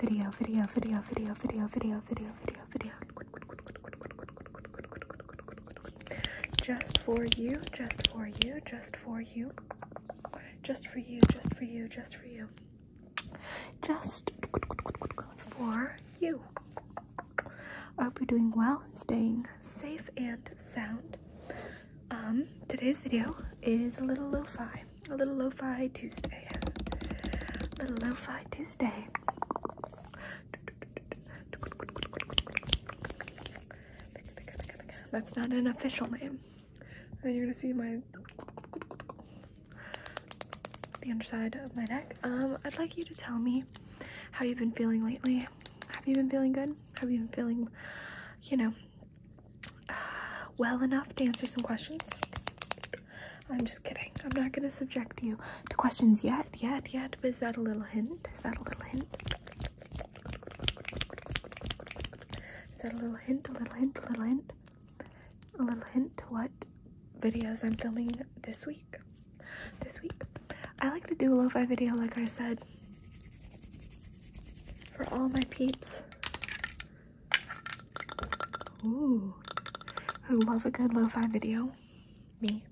video, video, video, video, video, video, video, video, video. Just for you, just for you, just for you. Just for you, just for you, just for you. Just for you. I hope you're doing well and staying safe and sound. Um, today's video is a little lo-fi. A little lo-fi Tuesday. A little lo-fi Tuesday. That's not an official name. Then you're gonna see my the underside of my neck. Um, I'd like you to tell me how you've been feeling lately. Have you been feeling good? Have you been feeling, you know, well enough to answer some questions. I'm just kidding. I'm not gonna subject you to questions yet, yet, yet. is that a little hint? Is that a little hint? Is that a little hint? A little hint? A little hint? A little hint to what videos I'm filming this week? This week, I like to do a lo-fi video, like I said, for all my peeps. Ooh, I love a good lo-fi video. Me.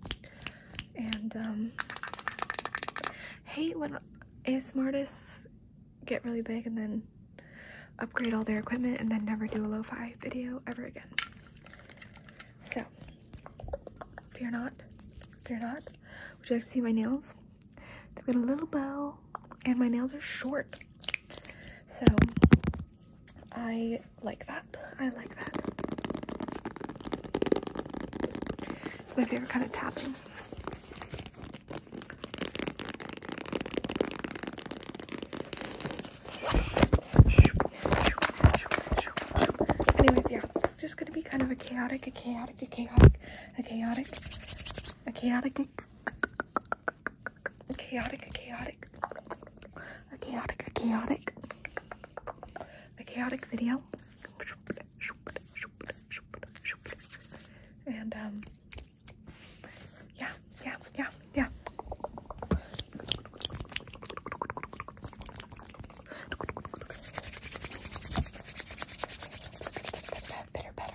And um, hate when ASMR artists get really big and then upgrade all their equipment and then never do a lo-fi video ever again. So, fear not, fear not. Would you like to see my nails? They've got a little bow, and my nails are short. So I like that. I like that. It's my favorite kind of tapping. Anyways, yeah, it's just gonna be kind of a chaotic, a chaotic, a chaotic, a chaotic, a chaotic chaotic, chaotic, chaotic, chaotic, a chaotic video. And, um, yeah, yeah, yeah, yeah. Better, better,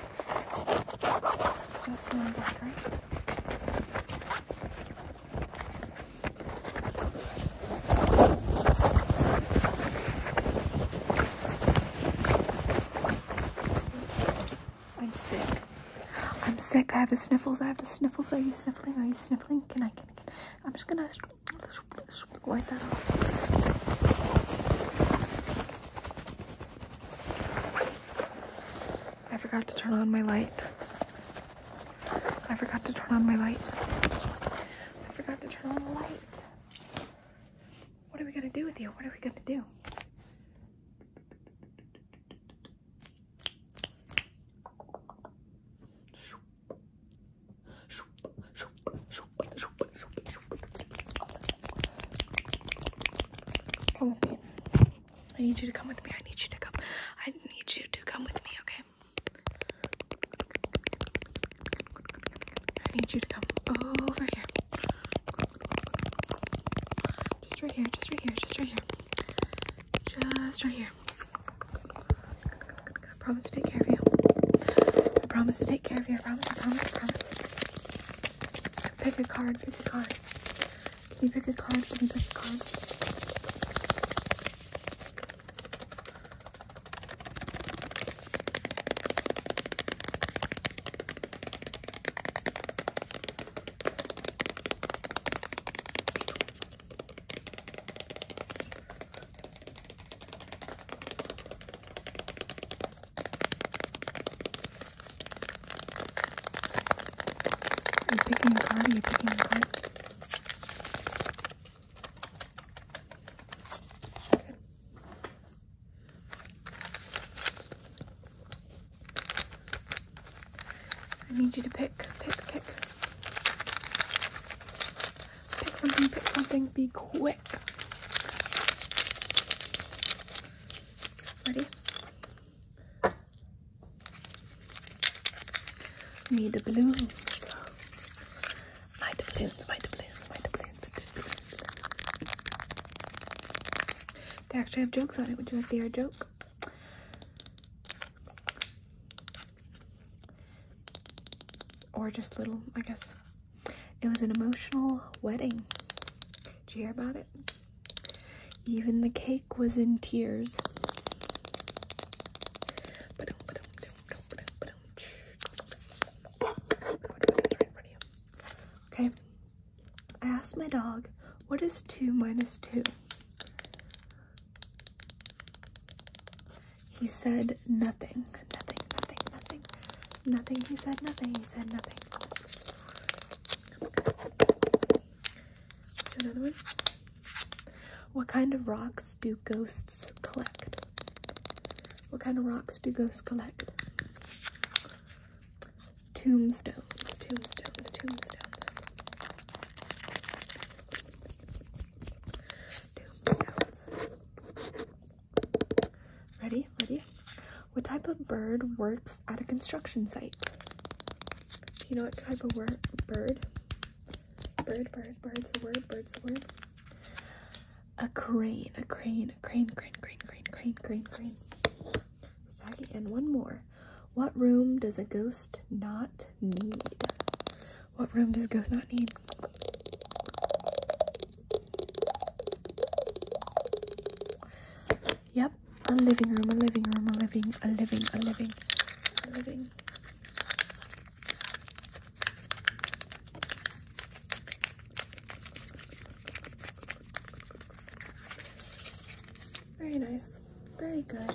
Just one battery. I'm sick. I'm sick. I have the sniffles. I have the sniffles. Are you sniffling? Are you sniffling? Can I? Can, can. I'm just gonna wipe that off. I forgot to turn on my light. I forgot to turn on my light. I forgot to turn on the light. What are we gonna do with you? What are we gonna do? Come with me. I need you to come with me. I need you to come. I need you to come with me, okay? I need you to come over here. Just right here, just right here, just right here. Just right here. I promise to take care of you. I promise to take care of you. I promise, I promise, I promise. Pick a card, pick a card. Can you pick a card? Can you pick a card? Are picking a card? Are picking a card? Good. I need you to pick, pick, pick. Pick something, pick something, be quick quick. Ready? Me the balloons. My doubloons, my doubloons, my doubloons. They actually have jokes on it. Would you like to hear a joke? Or just little, I guess. It was an emotional wedding. Did you hear about it? Even the cake was in tears. Okay, I asked my dog, what is 2 minus 2? He said nothing, nothing, nothing, nothing, nothing. He said nothing, he said nothing. another one. What kind of rocks do ghosts collect? What kind of rocks do ghosts collect? Tombstones, tombstones, tombstones. Tombstones. Ready? Ready? What type of bird works at a construction site? Do you know what type of word? Bird? Bird, bird, bird's the word, bird's the word. A crane, a crane, a crane, crane, crane, crane, crane, crane, crane. And one more. What room does a ghost not need? What room does Ghost not need? Yep, a living room, a living room, a living, a living, a living, a living. Very nice. Very good.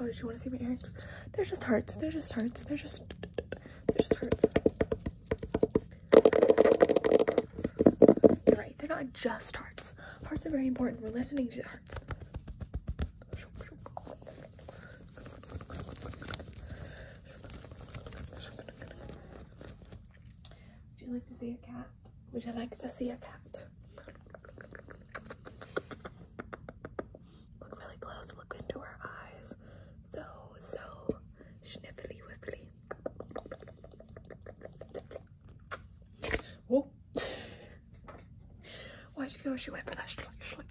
Oh, did you want to see my earrings? They're just hearts. They're just hearts. They're just. They're just hearts. You're right. They're not just hearts. Hearts are very important. We're listening to hearts. Would you like to see a cat? Would you like to see a cat? Look really close. Look into her eyes. So, so sniffily whiffily. Whoa. Why'd you go? She went for that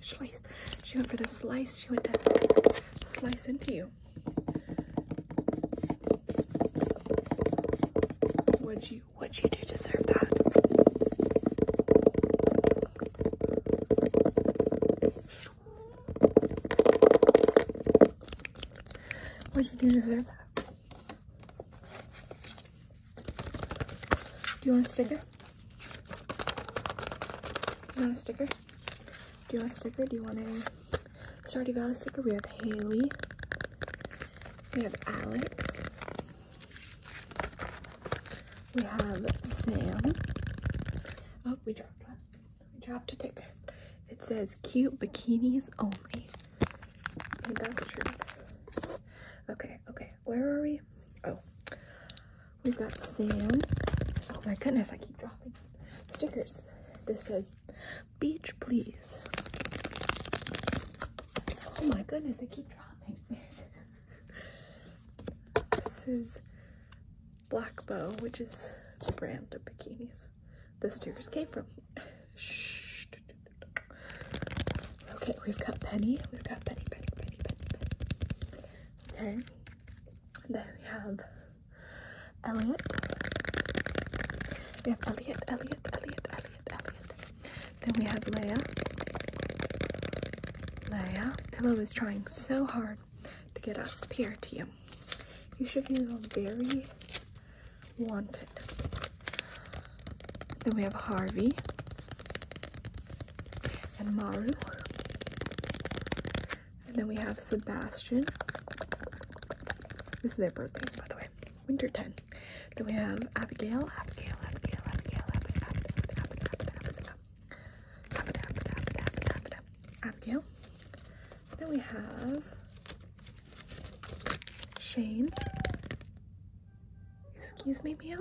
slice. She went for the slice. She went to slice into you. Would what you you do deserve that. What you do deserve that. Do you want a sticker? You want a sticker? Do you want a sticker? Do you want a Stardew Valley sticker. We have Haley. We have Alex. We have Sam. Oh, we dropped one. We dropped a ticket. It says cute bikinis only. that's true. Okay, okay. Where are we? Oh. We've got Sam. Oh my goodness, I keep dropping stickers. This says Beach, please. Oh my goodness, they keep dropping. this is Black Bow, which is the brand of bikinis the stickers came from. Shh. Okay, we've got Penny. We've got Penny, Penny, Penny, Penny, Okay. Then we have Elliot. We have Elliot, Elliot, Elliot, Elliot, Elliot. Then we have Leia. Leia. Pillow is trying so hard to get up here to you. You should feel very wanted. Then we have Harvey and Maru. And then we have Sebastian this is their birthdays, by the way. Winter 10. Then we have Abigail, Abigail, Abigail, Abigail, Abigail, Abigail, Abigail, Abigail. Then we have Shane. Excuse me, meow.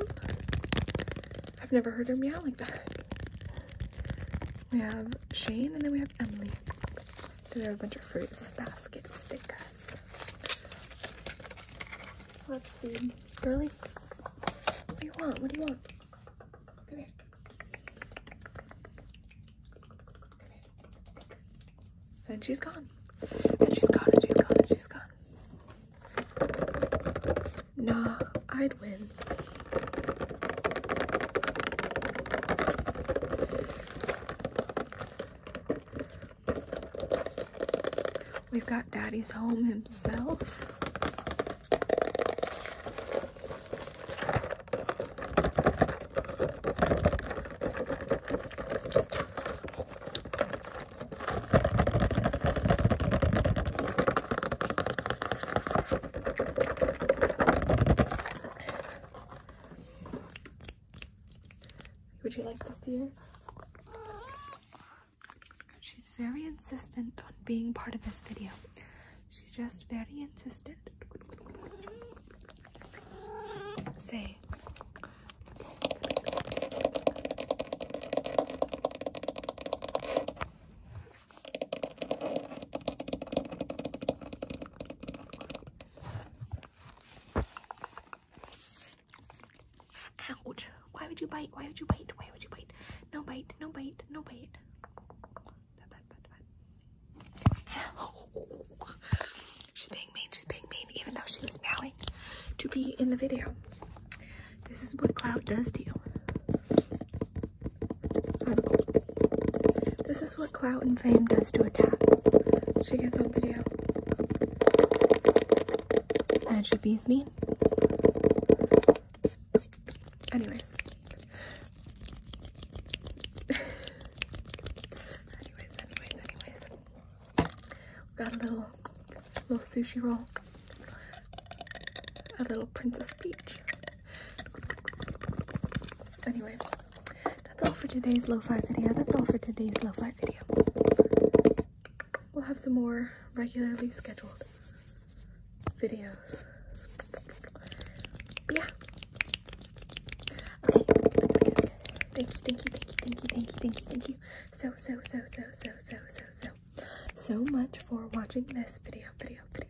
I've never heard her meow like that. We have Shane, and then we have Emily. They're a bunch of fruits basket stickers. Let's see. Girly, what do you want? What do you want? Come here. And she's gone. And she's gone, and she's gone, and she's gone. Nah, I'd win. We've got Daddy's home himself. Would you like to see her? She's very insistent on being part of this video. She's just very insistent. Say. Ouch! Ah, Why would you bite? Why would you bite? Why would you bite? No bite! No bite! No bite! She's being mean. She's being mean, even though she was meowing to be in the video. This is what cloud does to you. This is what clout and fame does to a cat. She gets on video. And she bees me. Anyways. anyways, anyways, anyways. Got a little, little sushi roll. A little Princess Peach. Anyways, that's all for today's lo-fi video. That's all for today's lo-fi video. We'll have some more regularly scheduled videos. But yeah. Okay. Thank you, thank you, thank you, thank you, thank you, thank you, so, so, so, so, so, so, so, so, so much for watching this video, video, video